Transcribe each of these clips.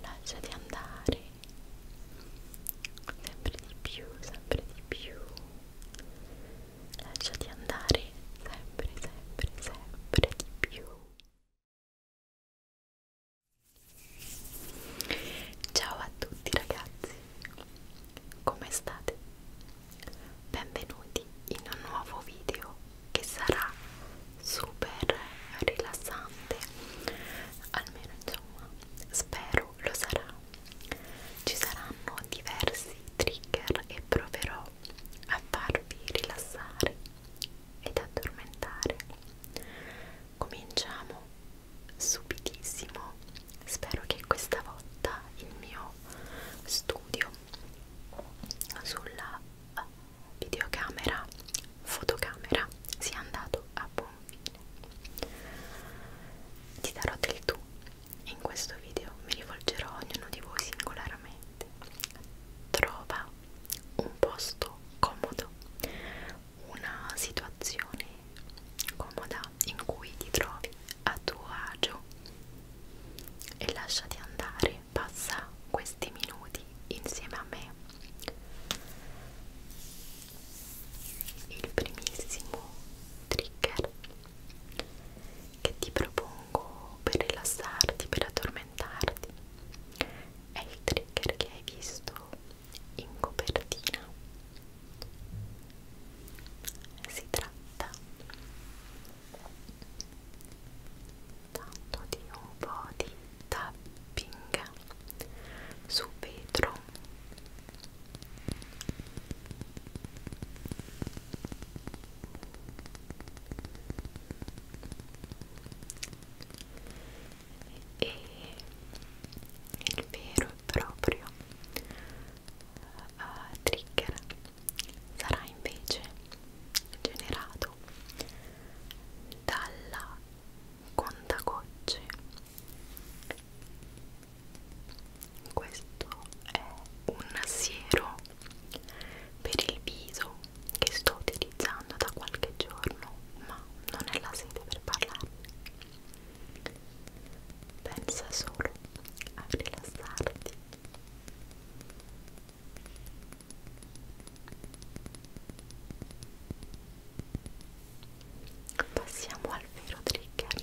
lasciati andare sempre di più sempre di più lasciati andare sempre sempre sempre di più Ciao a tutti ragazzi, come state? Benvenuti in un nuovo video che sarà super rilassante, almeno insomma spero lo sarà. Ci saranno diversi trigger e proverò a farvi rilassare ed addormentare. Cominciamo subitissimo spero che questa volta il mio studio sulla eh, videocamera fotocamera sia andato a buon fine ti darò del tu in questo video mi rivolgerò a ognuno di voi singolarmente trova un posto comodo una situazione comoda in cui ti trovi a tuo agio e lasciati andare, passa questi minuti insieme a me. Il primissimo trigger che ti propongo per rilassarti, per addormentarti, è il trigger che hai visto in copertina si tratta tanto di un po' di tapping su vetro e il vero e proprio uh, trigger sarà invece generato dalla contagocce questo è un siero per il viso che sto utilizzando da qualche giorno, ma non è la sede per parlarne. Pensa solo a rilassarti. Passiamo al vero trigger.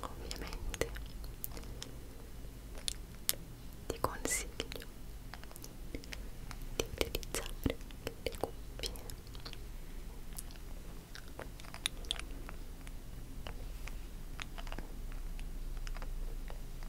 Ovviamente ti consiglio di utilizzare le cuffie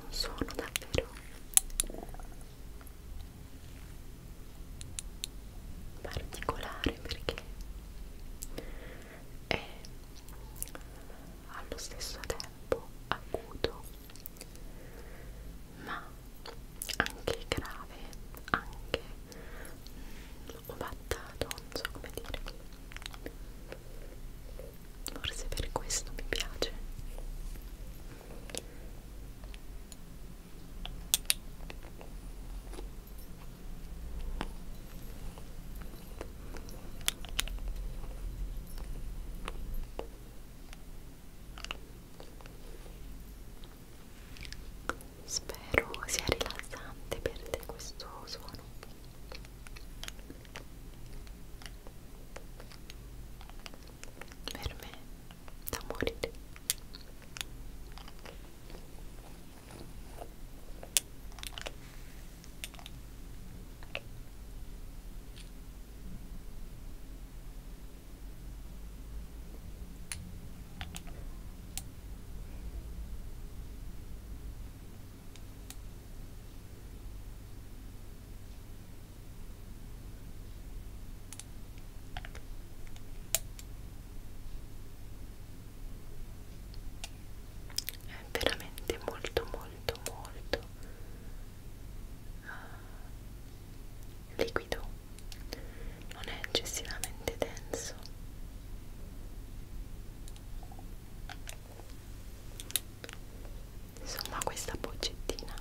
un suono davvero particolare perché è allo stesso tempo acuto ma anche grave anche o battato, non so come dire forse per questo mi piace Spero sia rilassante per te questo suono. Per me da morire. Ora è veramente molto molto molto ah, liquido non è eccessivamente denso insomma questa boccettina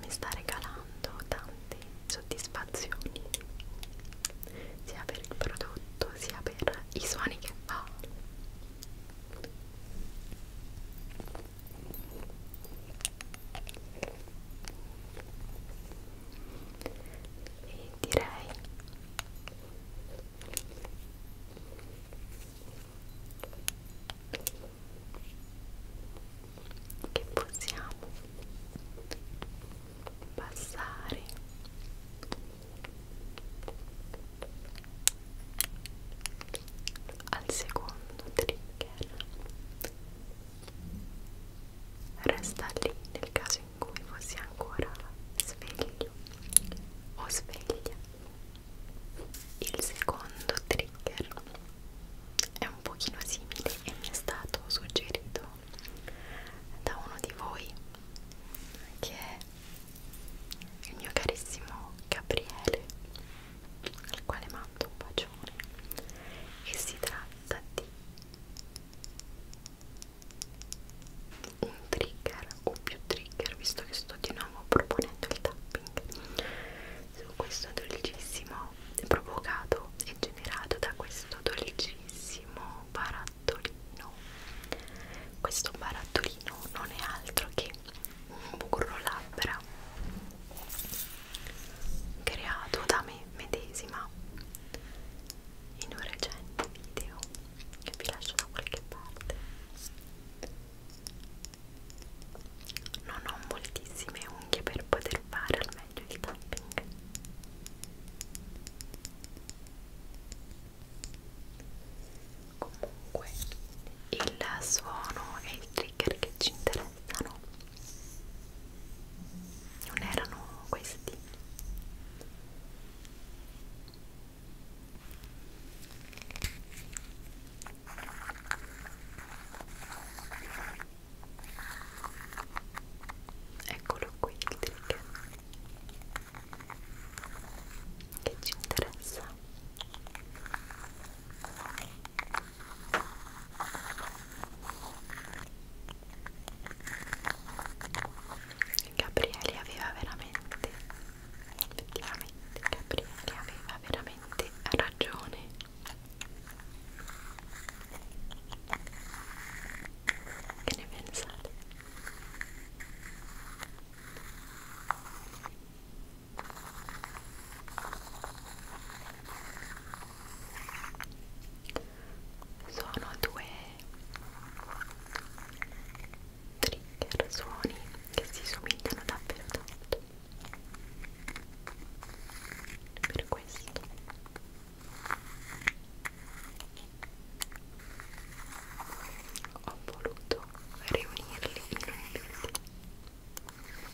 mi sta regalando tante soddisfazioni sia per il prodotto sia per i suoni che fa e direi che possiamo passare al secondo trigger resta lì nel caso in cui fossi ancora sveglio o sveglia. Il secondo trigger è un pochino simile e mi è stato suggerito da uno di voi che è il mio carissimo Gabriele al quale mando un bacione e si tratta di un trigger o più trigger visto che sto di nuovo proponendo il tapping su questo dolcissimo provocato e generato da questo dolcissimo barattolino questo barattolino non è altro che un burro labbra creato da me medesima in un recente video che vi lascio da qualche parte non ho moltissime unghie per poter fare al meglio il tapping comunque il suono è il trigger che ci interessa pensano non erano questi eccolo qui il trick che ci interessa Gabriele aveva veramente, effettivamente Gabriele aveva veramente ragione. Che ne pensate? sono due trigger suoni che si somigliano davvero tanto per questo ho voluto riunirli in un video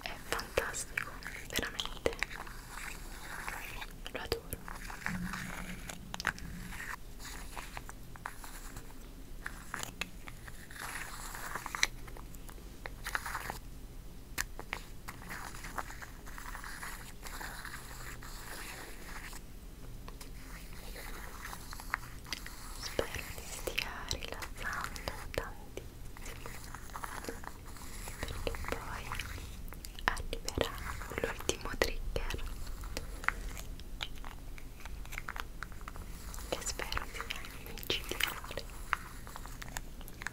È fantastico, veramente. Lo adoro. Spero ti stia rilassando tantissimo perché poi arriverà l'ultimo trigger che spero sia micidiale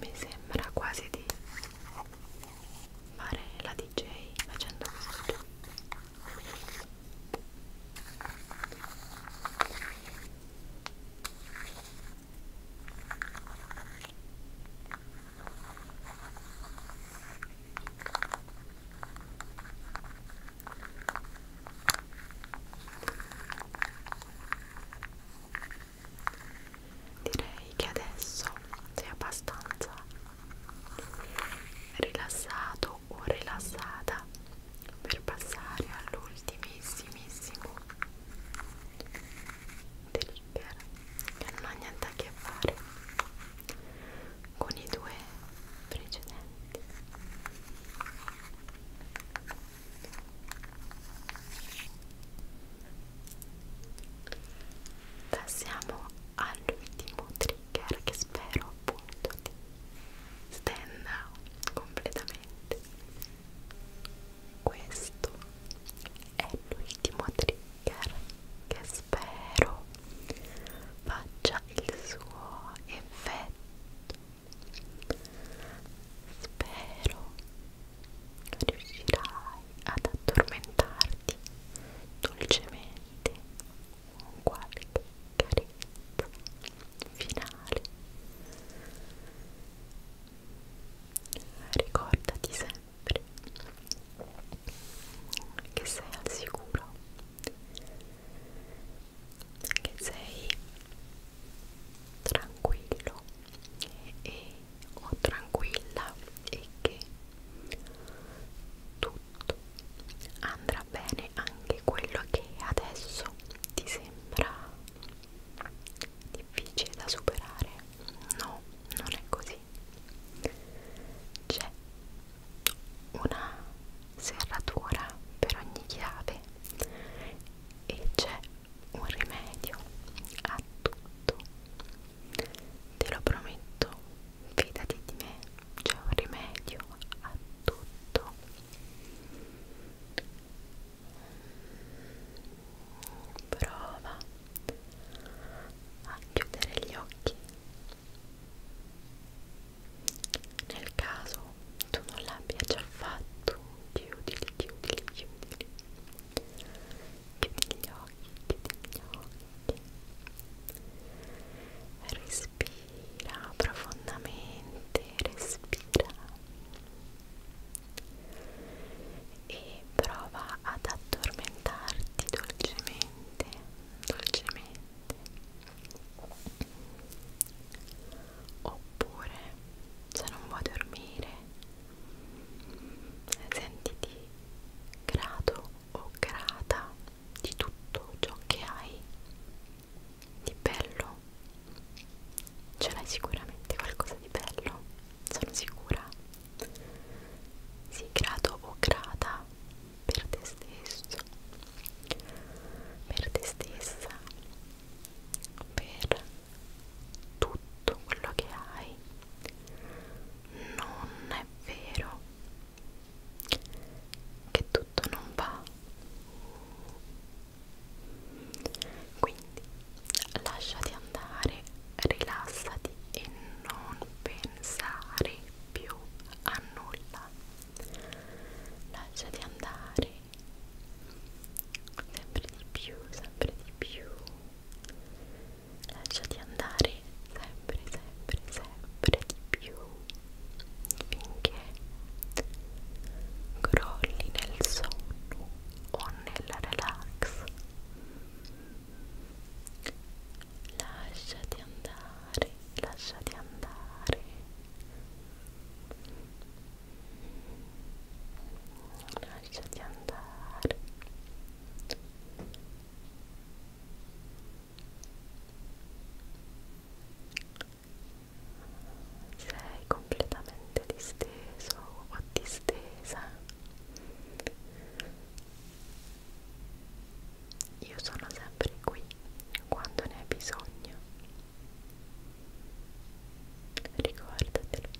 Mi sembra quasi di fare la DJ facendo questo. Direi che adesso sei abbastanza rilassato o rilassata per passare all'ultimissimissimo trigger che non ha niente a che fare con i due precedenti passiamo all'ultimo trigger che spero appunto di stand out completamente questo è l'ultimo trigger che spero faccia il suo effetto spero riuscirai ad addormentarti dolcemente con qualche carezza finale. Ricordati sempre che sei al sicuro, che sei tranquillo e, o tranquilla e che tu tutto andrà bene anche quello che adesso ti sembra difficile da superare no non è così c'è una serratura per ogni chiave e c'è un rimedio a tutto te lo prometto fidati di me, c'è un rimedio a tutto. Prova a chiudere gli occhi. Nel caso tu non l'abbia già fatto, chiudili, chiudili, chiudili. Chiudi gli occhi, chiudi gli occhi. Respira. Respira profondamente, respira e prova ad addormentarti dolcemente, dolcemente. Oppure se non vuoi dormire, sentiti grato o grata di tutto ciò che hai di bello ce l'hai sicuramente qualcosa di bello sono sicura sii grato o grata per te stesso per te stessa per tutto quello che hai non è vero che tutto non va quindi lasciati andare rilassati e non pensare più a nulla lasciati andare sempre di più sempre di più lasciati andare sempre, sempre, sempre di più finché crolli nel sonno o nel relax lasciati andare, lasciati andare lasciati andare sei completamente disteso o distesa io sono sempre qui quando ne hai bisogno ricordatelo